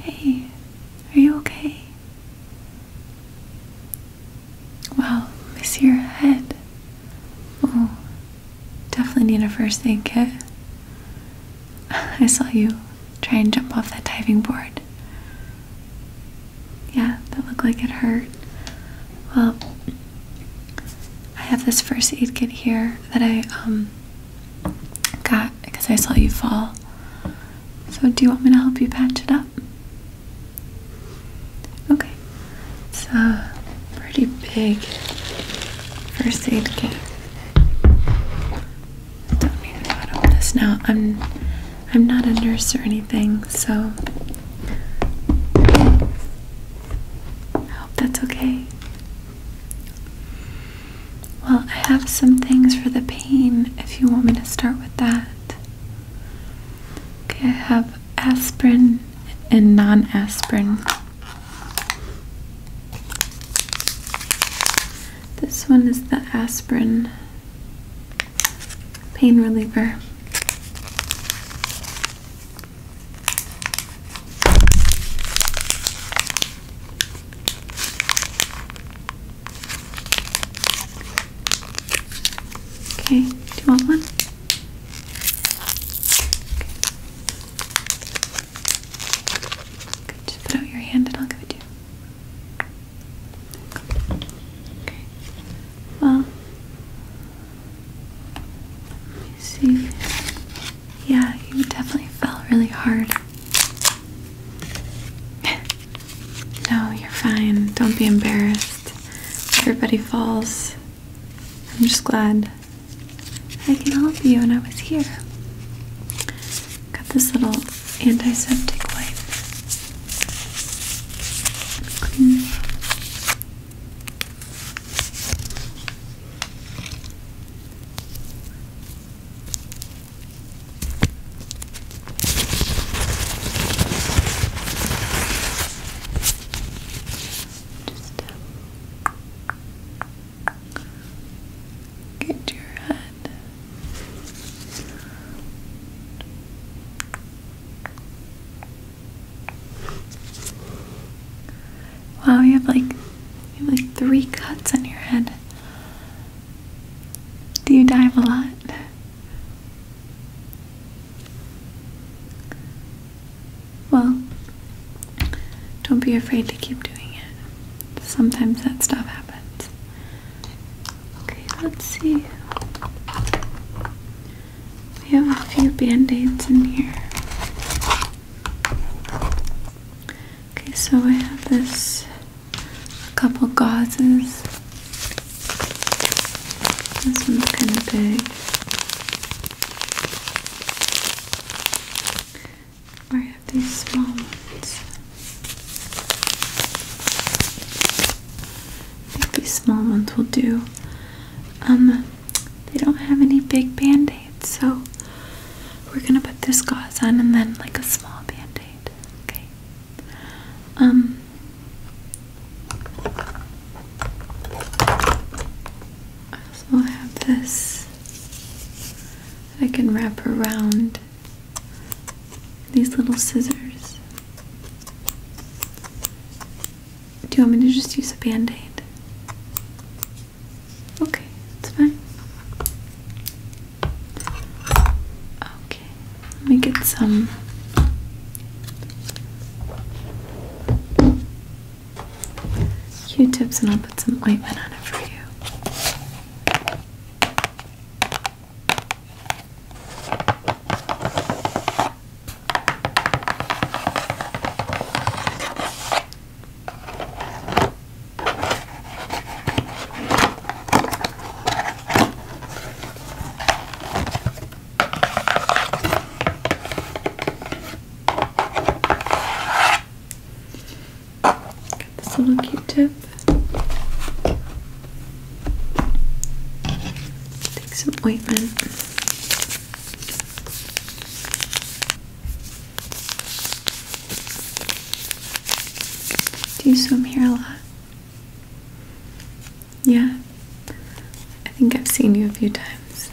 Hey, are you okay? Wow, miss your head. Oh, definitely need a first aid kit. I saw you try and jump off that diving board. Yeah, that looked like it hurt. Well, I have this first aid kit here that I um got because I saw you fall. So, do you want me to help you patch it up? Okay, So, pretty big first aid kit. I Don't need to know over this now. I'm I'm not a nurse or anything, so I hope that's okay. Well, I have some things for the pain if you want me to start with that. Okay, I have aspirin and non aspirin. This one is the aspirin pain reliever. Okay, do you want one? Okay. Good. put out your hand and I'll give it you. Okay. Well, let me see. Yeah, you definitely fell really hard. no, you're fine. Don't be embarrassed. Everybody falls. I'm just glad I can help you and I was here. Got this little antiseptic wipe. Just get your head. Wow, you have like like three cuts on your head. Do you dive a lot? Well, don't be afraid to keep doing it. Sometimes that stuff happens. Okay, let's see. We have a few band-aids in here. Okay, so I have this a couple gauzes. This one's kind of big. Or I have these small ones. these small ones will do. Um, they don't have any big band so we're gonna put this gauze on and then like a small band-aid okay um I also have this that I can wrap around these little scissors. Do you want me to just use a band aid? Okay, that's fine. Okay, let me get some. Q-tips and I'll put some ointment on it for you. Got little Q-tip. Take some ointment. Do you swim here a lot? Yeah. I think I've seen you a few times.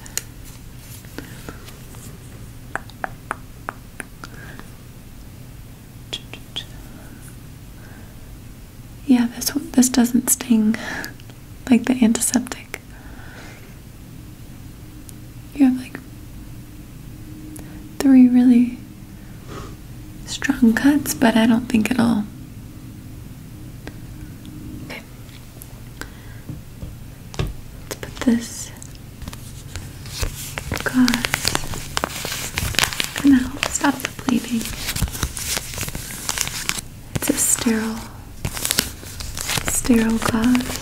Yeah, this this doesn't sting like the antiseptic you have like three really strong cuts, but I don't think it'll. Let's put this gauze. going help stop the bleeding. It's a sterile sterile glass.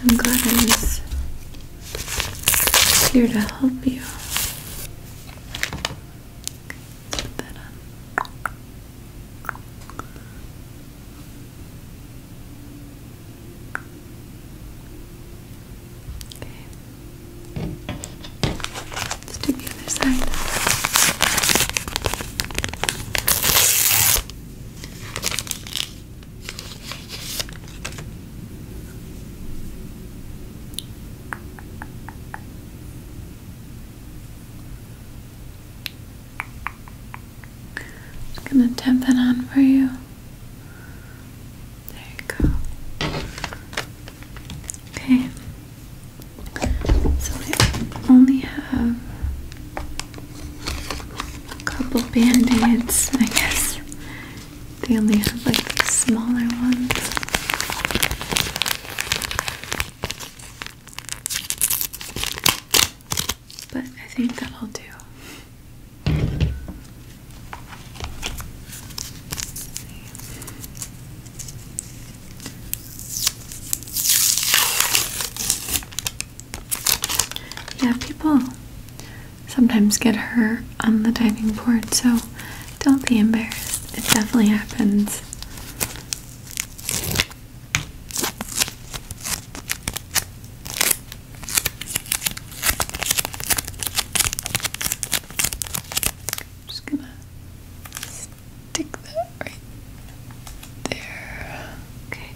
I'm glad I was here to help you. Okay. Let's do the other side. Just gonna tap that on for you. There you go. Okay. So we only have a couple band-aids, I guess. They only have like the smaller ones. But I think that'll do. Yeah, people sometimes get hurt on the diving board, so don't be embarrassed. It definitely happens just gonna stick that right there. Okay.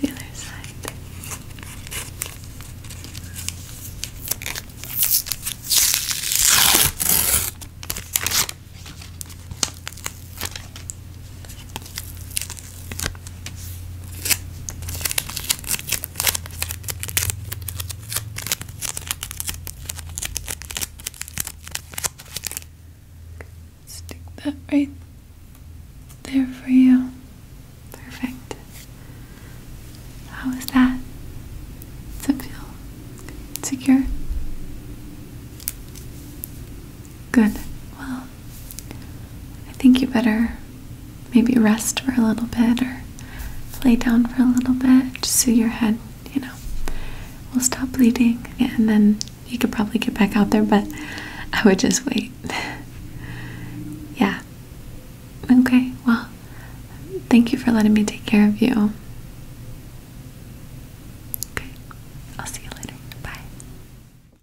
the other side. Stick that right there for you. Perfect. How is that? Does it feel secure? Good. Well, I think you better maybe rest for a little bit or lay down for a little bit just so your head, you know, will stop bleeding. And then you could probably get back out there, but I would just wait. yeah. Okay, well, thank you for letting me take care of you. Okay, I'll see you later. Bye.